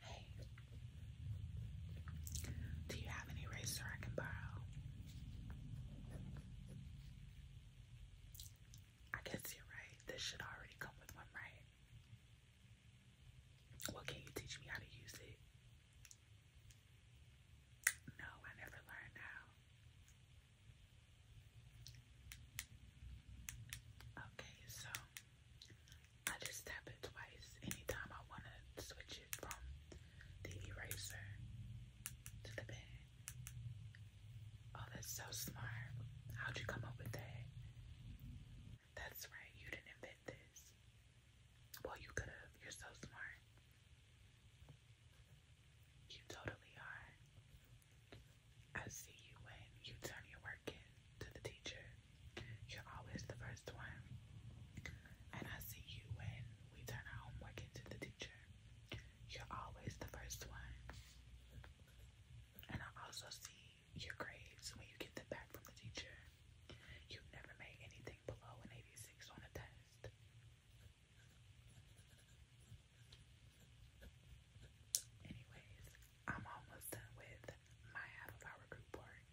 Hey, do you have an eraser I can borrow? I guess you're right. This should already come with one, right? Well, can you teach me how to use it? No, I never learned how. Okay, so I just tap it twice anytime I want to switch it from the eraser to the pen. Oh, that's so smart. How'd you come up with that? That's right, you didn't invent this. Well, you could have. You're so smart. You totally are. I see you when you turn your work in to the teacher. You're always the first one. And I see you when we turn our homework into the teacher. You're always the first one. And I also see your grades, when you get them back from the teacher, you have never made anything below an 86 on a test. Anyways, I'm almost done with my half of our group work.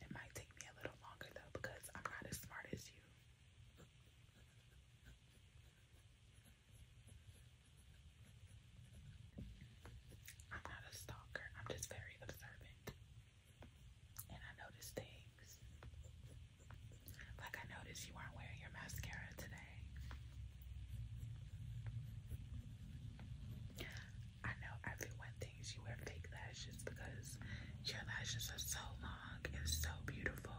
It might take me a little longer though because I'm not as smart as you. I'm not a stalker, I'm just very observant. And I notice things. Like I noticed you weren't wearing your mascara today. I know everyone thinks you wear fake lashes because your lashes are so long and so beautiful.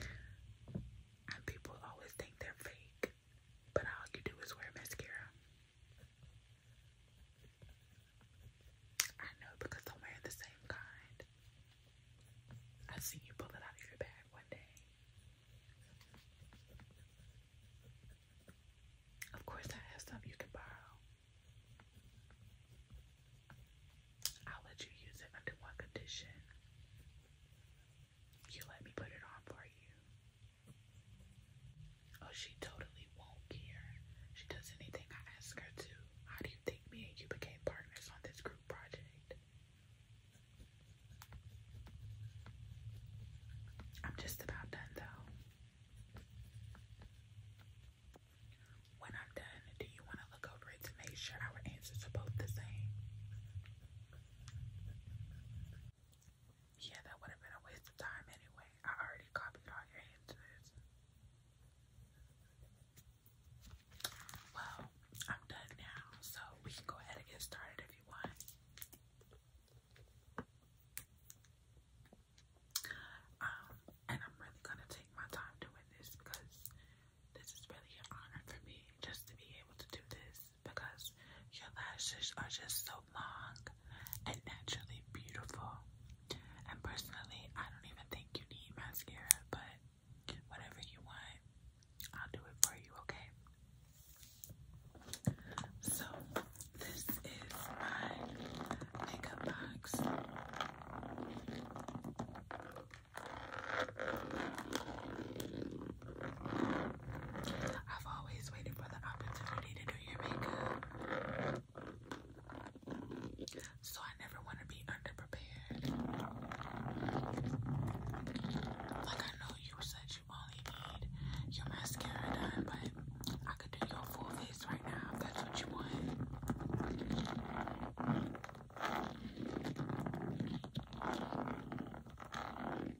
And people always think they're fake but all you do is wear mascara. I know because I'm the same kind. I've you pull it out of your bag one day. Of course, I have some you can borrow. I'll let you use it under one condition. You let me put it on for you. Oh, she totally won't care. She does anything I ask her to. How do you think me and you became partners on this group project? I'm just about done though. When I'm done, do you want to look over it to make sure our answers are both the same? Yeah, that would have been a waste of time anyway. I already copied all your answers. Well, I'm done now, so we can go ahead and get started if you want. Um, and I'm really gonna take my time doing this because this is really an honor for me just to be able to do this because your lashes are just so long and naturally beautiful. And personally, I don't even think you need mascara, but whatever you want, I'll do it for you, okay? So, this is my makeup box. I've always waited for the opportunity to do your makeup. So I never want to be underprepared. Like I know you said you only need your mascara done, but I could do your full face right now if that's what you want.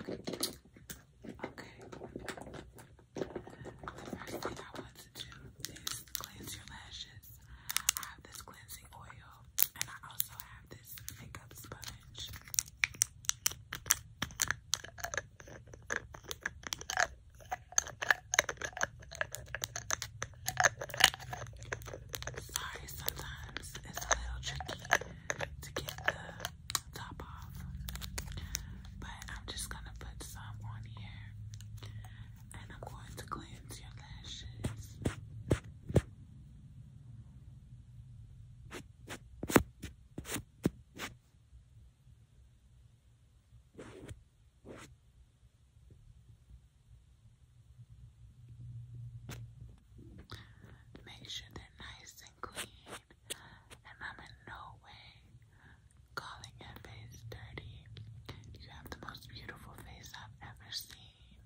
Okay. The first thing I want to do is cleanse your lashes. I have this cleansing oil and I also have this makeup sponge. Sorry, sometimes it's a little tricky to get the top off. But I'm just gonna put some on here and I'm going to cleanse your lashes. Make sure they're nice clean, and I'm in no way calling your face dirty. You have the most beautiful face I've ever seen.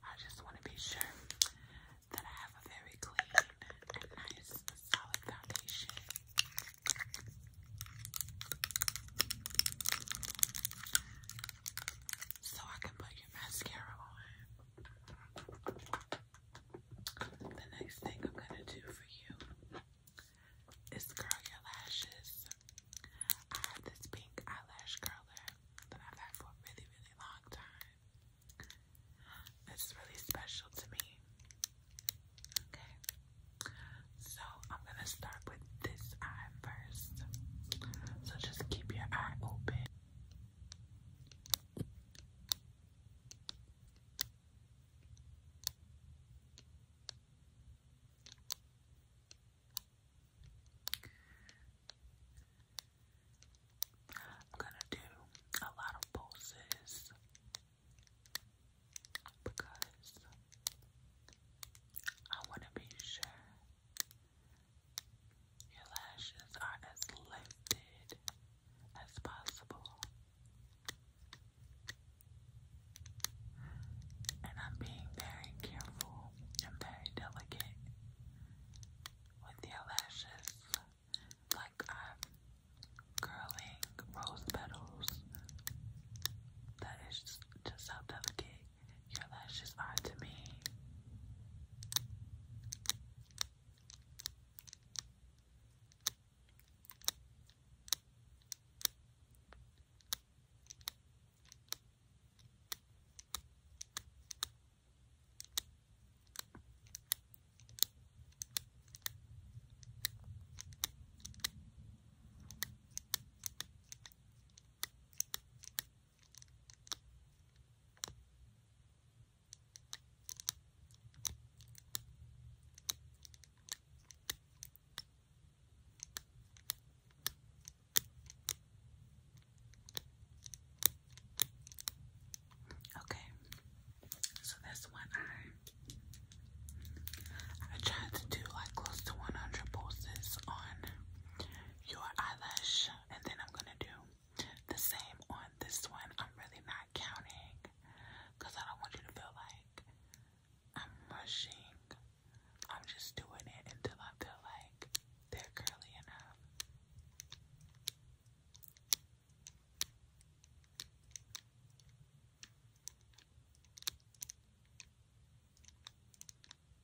I just want to be sure that I have a very clean and nice, solid foundation so I can put your mascara on. The next thing I'm gonna do for you is curl your lashes. I have this pink eyelash curler that I've had for a really, really long time. It's really special to me. Okay, so I'm gonna start with this eye first. So just keep your eye open. I'm gonna do a lot of poses because I want to be sure your lashes are as lifted as possible. And I'm being very careful and very delicate with your lashes, like I'm curling rose petals. That is just how delicate your lashes are to me. Okay, so that's one eye. I tried to do like close to 100 pulses on your eyelash, and then I'm gonna do the same on this one. I'm really not counting because I don't want you to feel like I'm rushing. I'm just doing it until I feel like they're curly enough.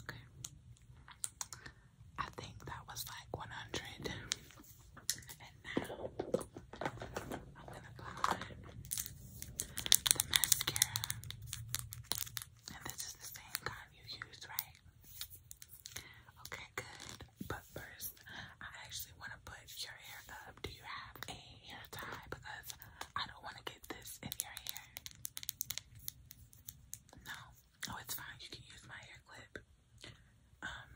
Okay. I think that was like 100 now I'm going to apply the mascara. And this is the same kind you used, right? Okay, good. But first, I actually want to put your hair up. Do you have a hair tie? Because I don't want to get this in your hair. No. Oh, it's fine. You can use my hair clip. Um,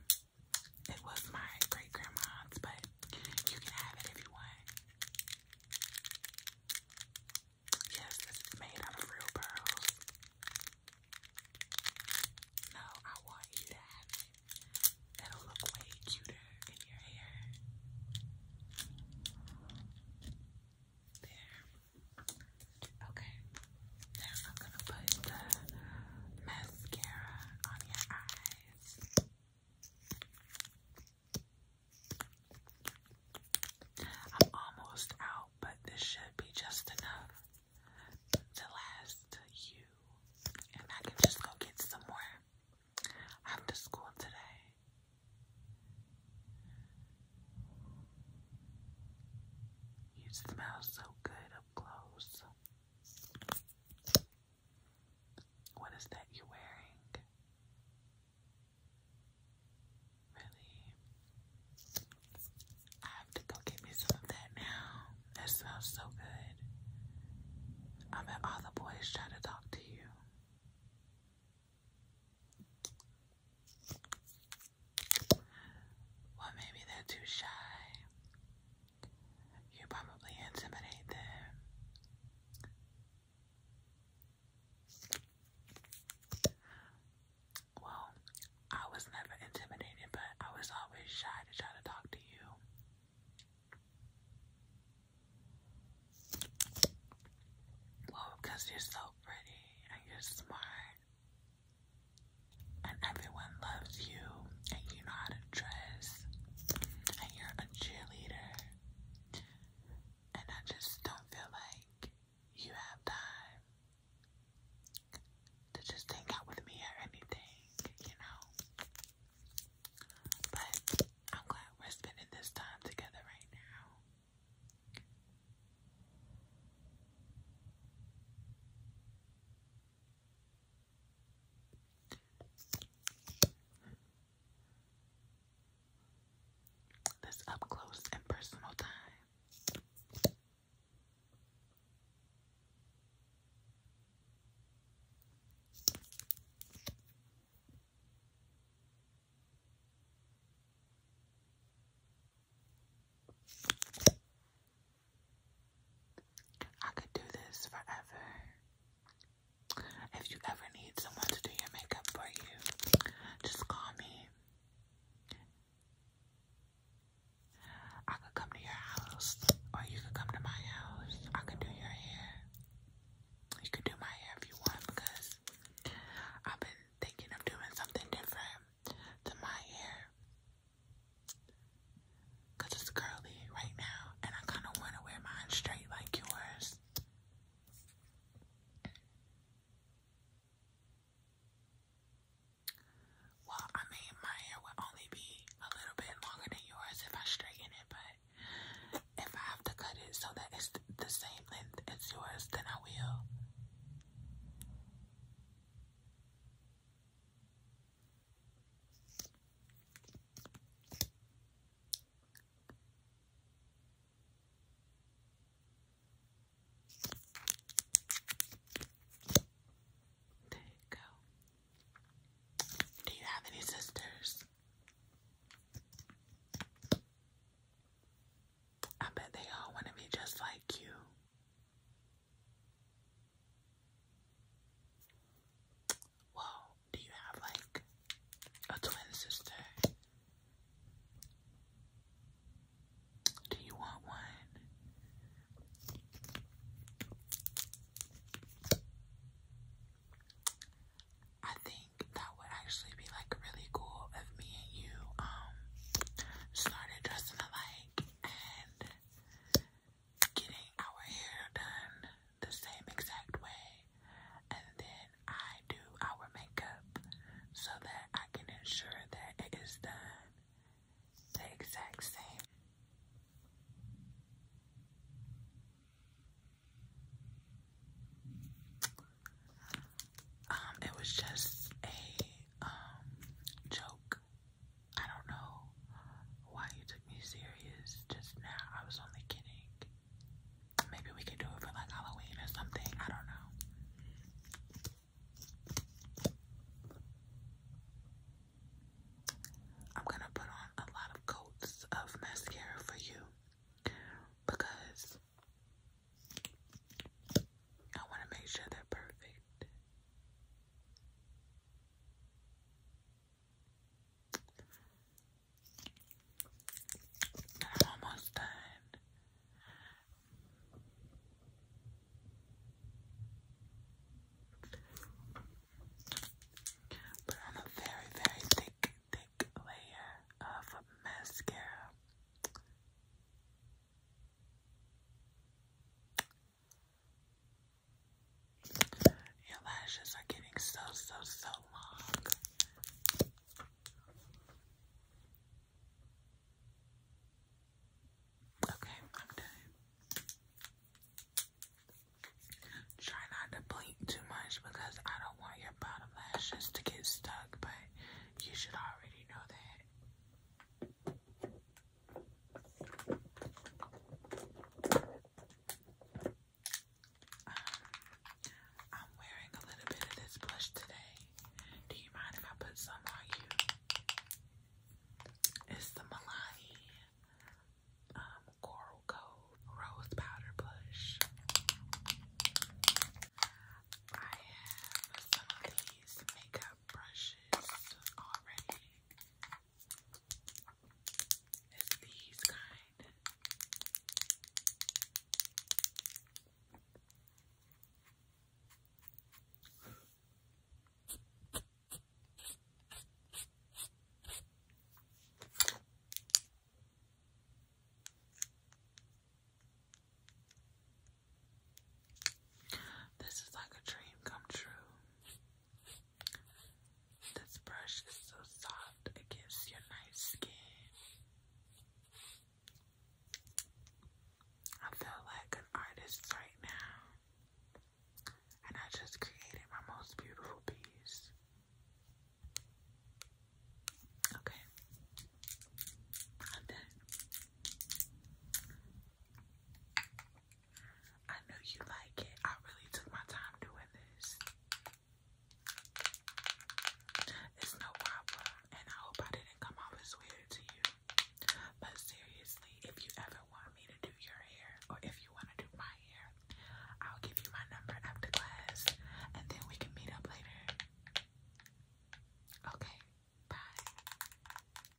it was my great grandma's, but you can have it if you want. Yes, it's made out of real pearls. No, I want you to have it. It'll look way cuter in your hair. There. Okay. Now I'm gonna put the mascara on your eyes. I'm almost out, but this should be just enough to last you. And I can just go get some more after school today. You smell so good up close. What is that you're wearing? Really? I have to go get me some of that now. That smells so good. I bet all the boys try to talk to you. Well, maybe they're too shy. You probably intimidate them. Well, I was never intimidated, but I was always shy to try to talk to you. Well, you're so pretty and you're smart, and everyone loves you, and you know how to dress and you're a cheerleader and I just don't feel like you have time to just hang out with me or anything, you know. But I'm glad we're spending this time together right now. This up close and personal time. I could do this forever. If you ever need someone to do your makeup for you, just call me. I could come to your house, or you could come to my house. I could do your hair. You could do my hair if you want, because I've been thinking of doing something different than my hair. Cause it's curly right now, and I kind of want to wear mine straight like yours. Well, I mean, my hair would only be a little bit longer than yours if I straighten it, but if I have to cut it so that it's the same length as yours, then I will. There you go. Do you have any sisters? I bet they all want to be just like you. Well, do you have like a twin sister? Do you want one? I think that would actually be like really cool if me and you um started dressing alike and getting our hair done the same exact way, and then I do our makeup so that I can ensure that it is done the exact same. Um, it was just a um joke I don't know why you took me serious just now. I was only kidding. Maybe we could do it for like Halloween or something. I don't know. I'm gonna put on a lot of coats of mascara for you because I want to make sure they're perfect. I'm almost done. Put on a very, very thick, thick layer of mascara. Your lashes are getting so, so, so long. Okay, I'm done. Try not to blink too much because I don't want your bottom lashes to get stuck, but you should already know that. I'm wearing a little bit of this blush today. Do you mind if I put some on you? It's the Milani um, Coral Gold Rose Powder Blush. I have some of these makeup brushes already. It's these kind. This is like a dream come true. This brush is so soft against your nice skin. I feel like an artist right now. And I just created my most beautiful piece. Okay. i I know you like it. I really took my time doing this. It's no problem, and I hope I didn't come off as weird to you. But seriously, if you ever want me to do your hair, or if you want to do my hair, I'll give you my number after class, and then we can meet up later. Okay, bye.